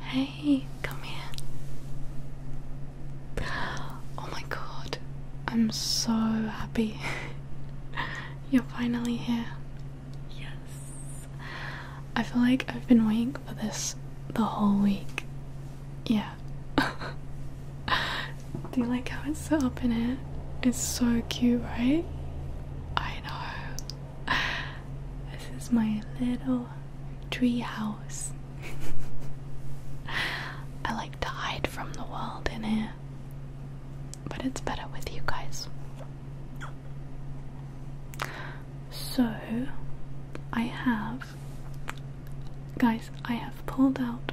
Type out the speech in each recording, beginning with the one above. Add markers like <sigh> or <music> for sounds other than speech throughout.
Hey, come here. Oh my god, I'm so happy. <laughs> You're finally here. Yes. I feel like I've been waiting for this the whole week. Yeah. <laughs> Do you like how it's set up in it? It's so cute, right? I know. <laughs> This is my little tree house. <laughs> I like to hide from the world in here, but it's better with you guys. So, I have. Guys, I have pulled out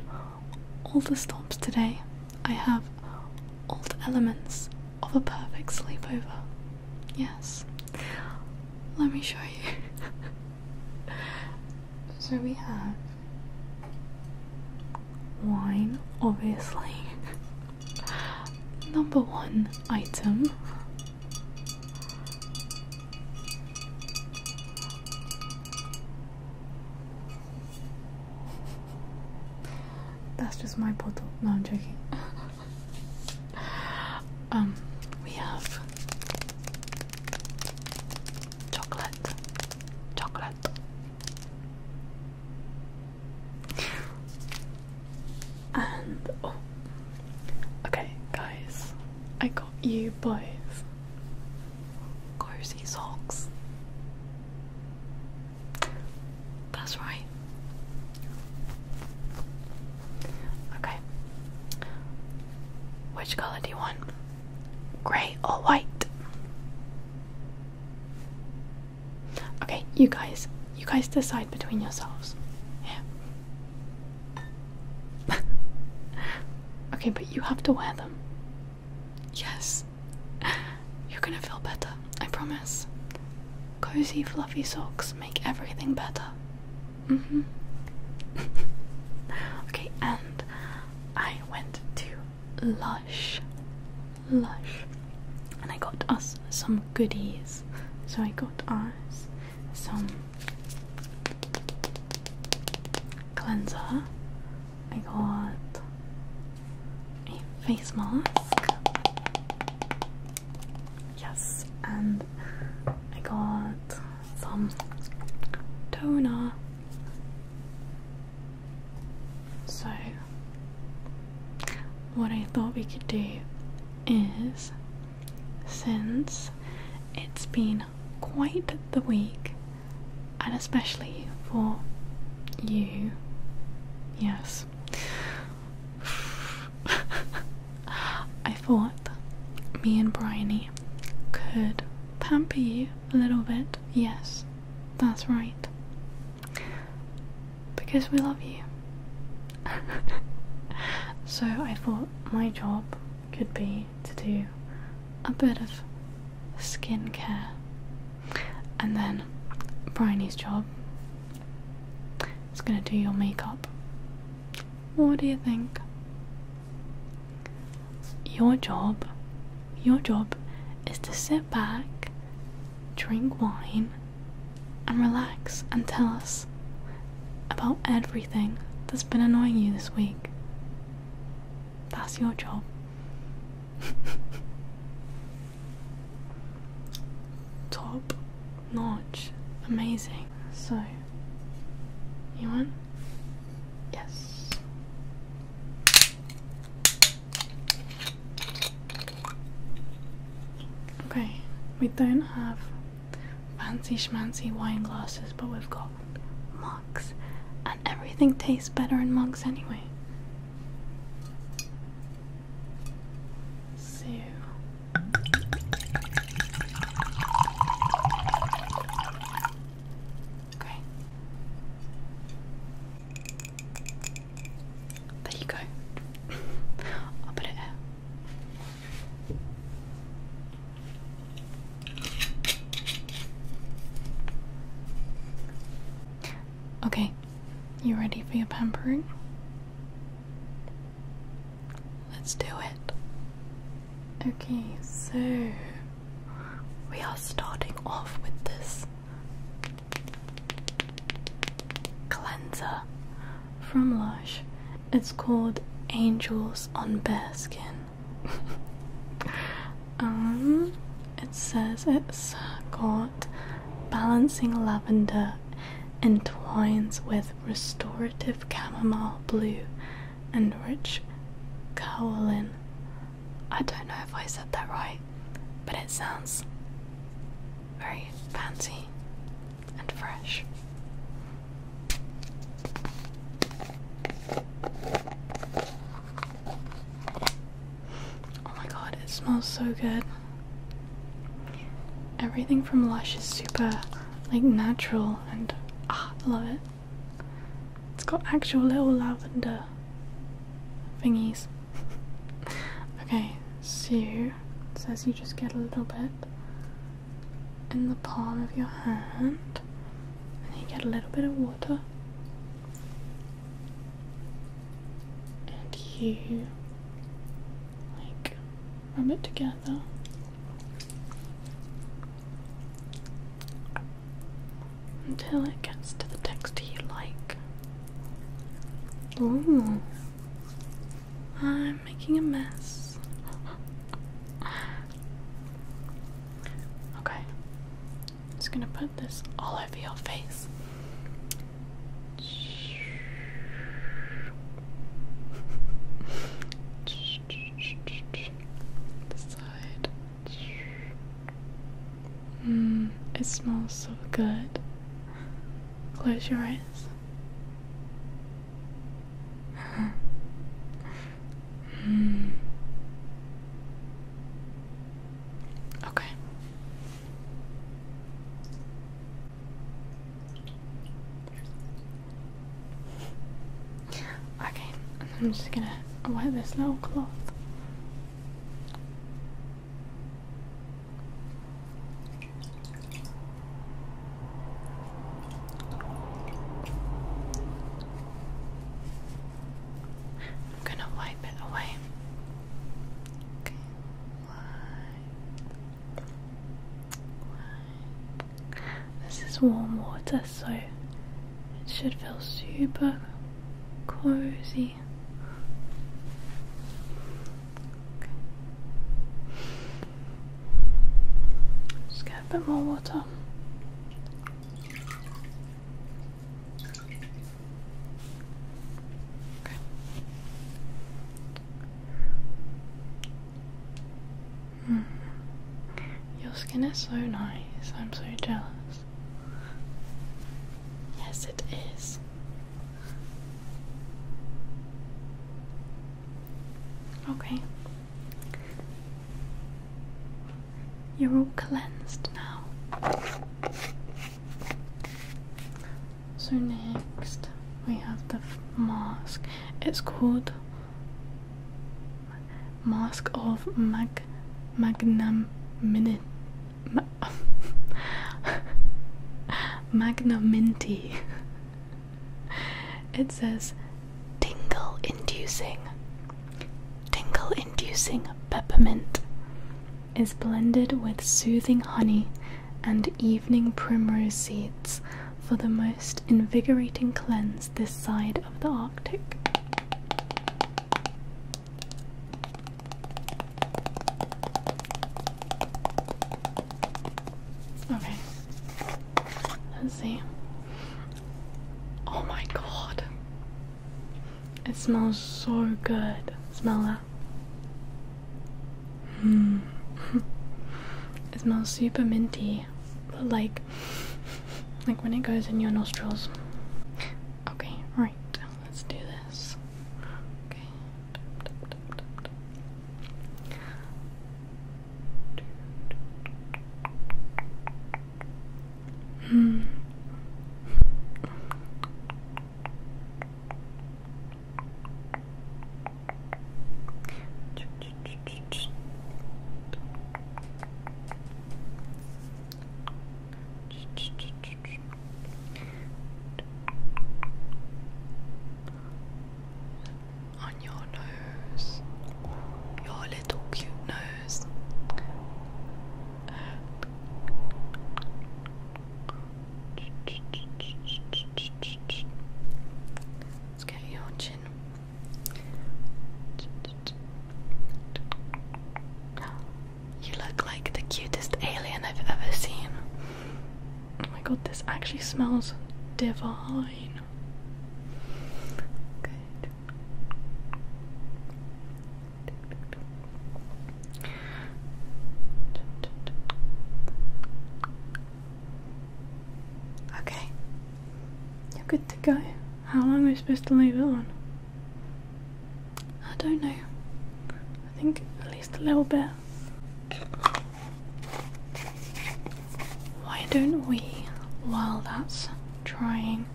all the stops today. I have all the elements of a perfect sleepover. Yes. Let me show you. <laughs> so we have wine, obviously. Number one item. That's just my bottle. No, I'm joking. <laughs> um, we have chocolate, chocolate. And oh, okay, guys, I got you both cozy socks. That's right. Okay. Which color do you want? Grey or white? Okay, you guys. You guys decide between yourselves. Yeah. <laughs> okay, but you have to wear them. Yes. <laughs> You're gonna feel better, I promise. Cozy, fluffy socks make everything better. Mm-hmm. <laughs> okay, and I went to Lush. Lush. And I got us some goodies. So I got us some cleanser. I got a face mask. Yes, and I got some toner. So, what I thought we could do is since it's been quite the week, and especially for you, yes, I thought me and Bryony could pamper you a little bit. Yes, that's right. Because we love you. <laughs> so I thought my job could be to do a bit of skincare and then Bryony's job is going to do your makeup. What do you think? Your job, your job is to sit back, drink wine, and relax and tell us about everything that's been annoying you this week. That's your job. <laughs> Top notch. Amazing. So, you want? Yes. Okay, we don't have fancy schmancy wine glasses, but we've got mugs, and everything tastes better in mugs anyway. So Okay. There you go. I'll put it out. Okay, you ready for your pampering? Let's do it. Okay, so we are starting off with this cleanser from Lush. It's called Angels on Bare Skin. <laughs> um, it says it's got balancing lavender entwines with restorative chamomile blue and rich kaolin. I don't know if I said that right, but it sounds very fancy and fresh. Oh my god, it smells so good. Everything from Lush is super like natural and ah, I love it. It's got actual little lavender thingies. <laughs> okay, so it says you just get a little bit in the palm of your hand and you get a little bit of water and you like rub it together. Until it gets to the texture you like. Ooh, I'm making a mess. <gasps> okay, just gonna put this all over your face. the side. Mmm, it smells so good. Close your eyes. <laughs> mm. Okay. Okay, I'm just gonna wear this little cloth. I'm gonna wipe it away. Okay. Wipe. Wipe. This is warm water, so it should feel super cozy. Okay. Just get a bit more water. Your skin is so nice. I'm so jealous. Yes, it is. Okay. You're all cleansed now. So, next we have the mask. It's called Mask of Mag Magnum Minute. Ma <laughs> it says tingle inducing tingle inducing peppermint is blended with soothing honey and evening primrose seeds for the most invigorating cleanse this side of the Arctic. Okay, let's see. Oh my god, it smells so good. Smell that. Mm. <laughs> it smells super minty, but like, like when it goes in your nostrils. Okay, right. Let's do this. Okay. Mm. On your nose, your little cute nose. Let's get your chin. You look like the cutest alien I've ever seen. Oh my god, this actually smells divine. Okay, you're good to go. How long are we supposed to leave it on? I don't know. I think at least a little bit. Why don't we, while that's drying,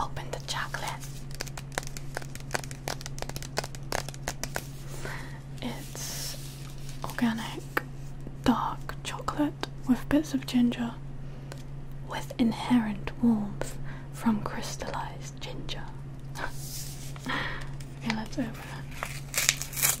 Open the chocolate. It's organic dark chocolate with bits of ginger with inherent warmth from crystallized ginger. <laughs> okay, let's open it.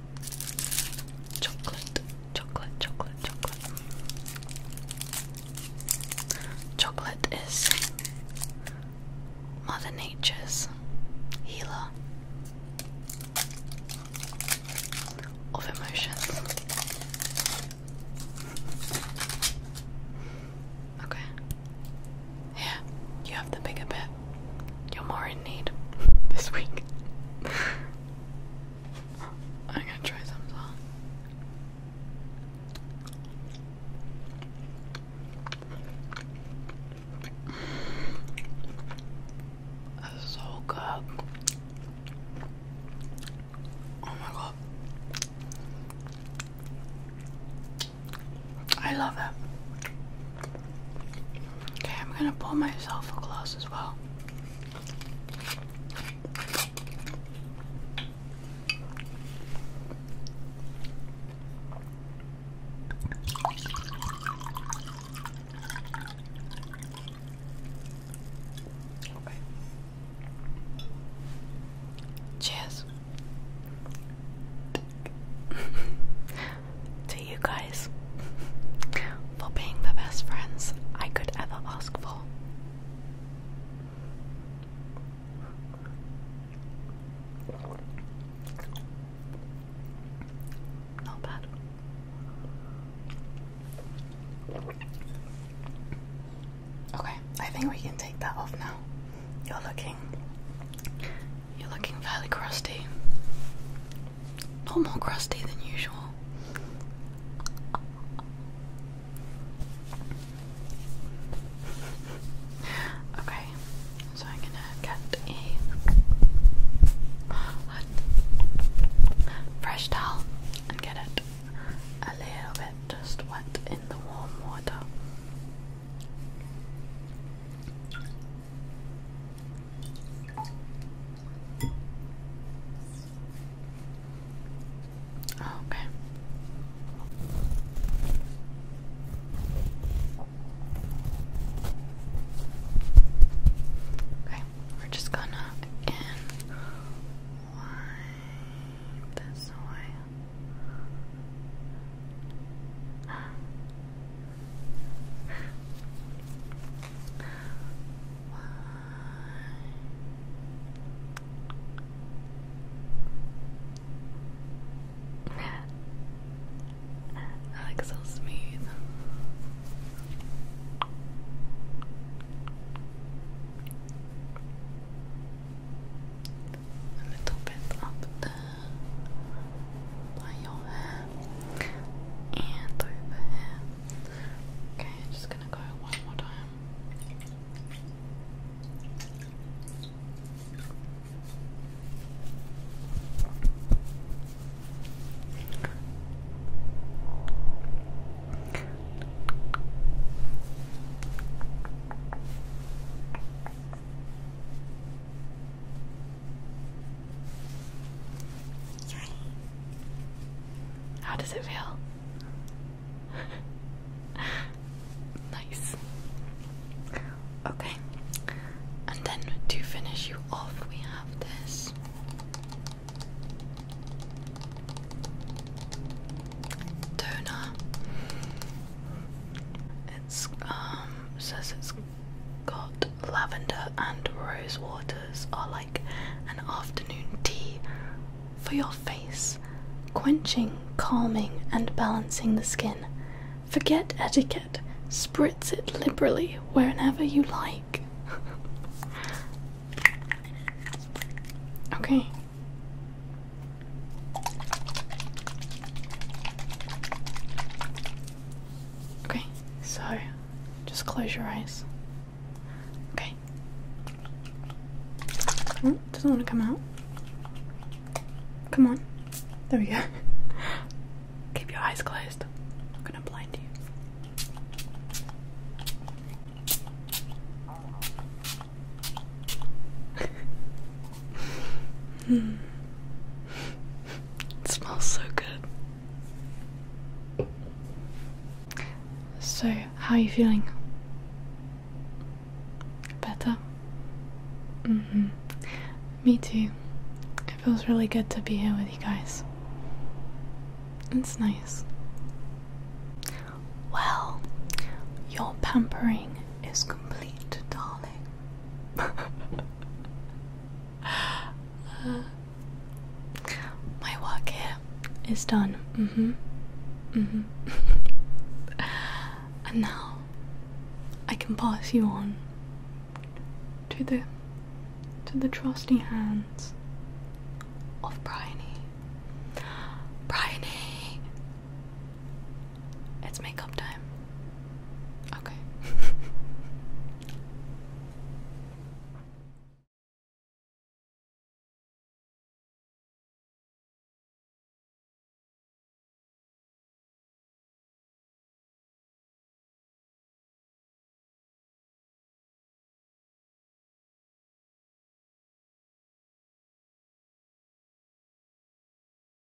Chocolate, chocolate, chocolate, chocolate. Chocolate is Mother Nature's healer of emotions. Okay. Here, you have the bigger bit you're more in need <laughs> this week. <laughs> I'm gonna try some song. so good. Oh my god. I love it. Okay, I'm gonna pull myself a close as well. Cheers. <laughs> to you guys for being the best friends I could ever ask for. Not bad. Okay, I think we can take that off now. You're looking you're looking fairly crusty. A lot more crusty than usual. Okay, so I'm gonna get a fresh towel and get it a little bit just wet in the warm water okay. Okay, we're just gonna again this away. Why? <laughs> I smooth. A little up by your hair and over here. Okay, just gonna go one more time. How does it feel? <laughs> nice. Okay. And then to finish you off, we have this. Toner. It's um says it's got lavender and rose waters are like an afternoon tea for your face, quenching, calming, and balancing the skin. Forget etiquette, spritz it liberally wherever you like. okay. Okay, so just close your eyes. Okay. Oh, doesn't want to come out. Come on. There we go. <laughs> Keep your eyes closed. I'm gonna blind you. Mm. It smells so good. So, how are you feeling? Better? hmm. Me too. It feels really good to be here with you guys. It's nice. Well, your pampering is complete, darling uh, <laughs> my work here is done. Mm hmm. Mm hmm. <laughs> and now I can pass you on to the to the trusty hands of Bryony. Bryony. It's makeup time. Okay.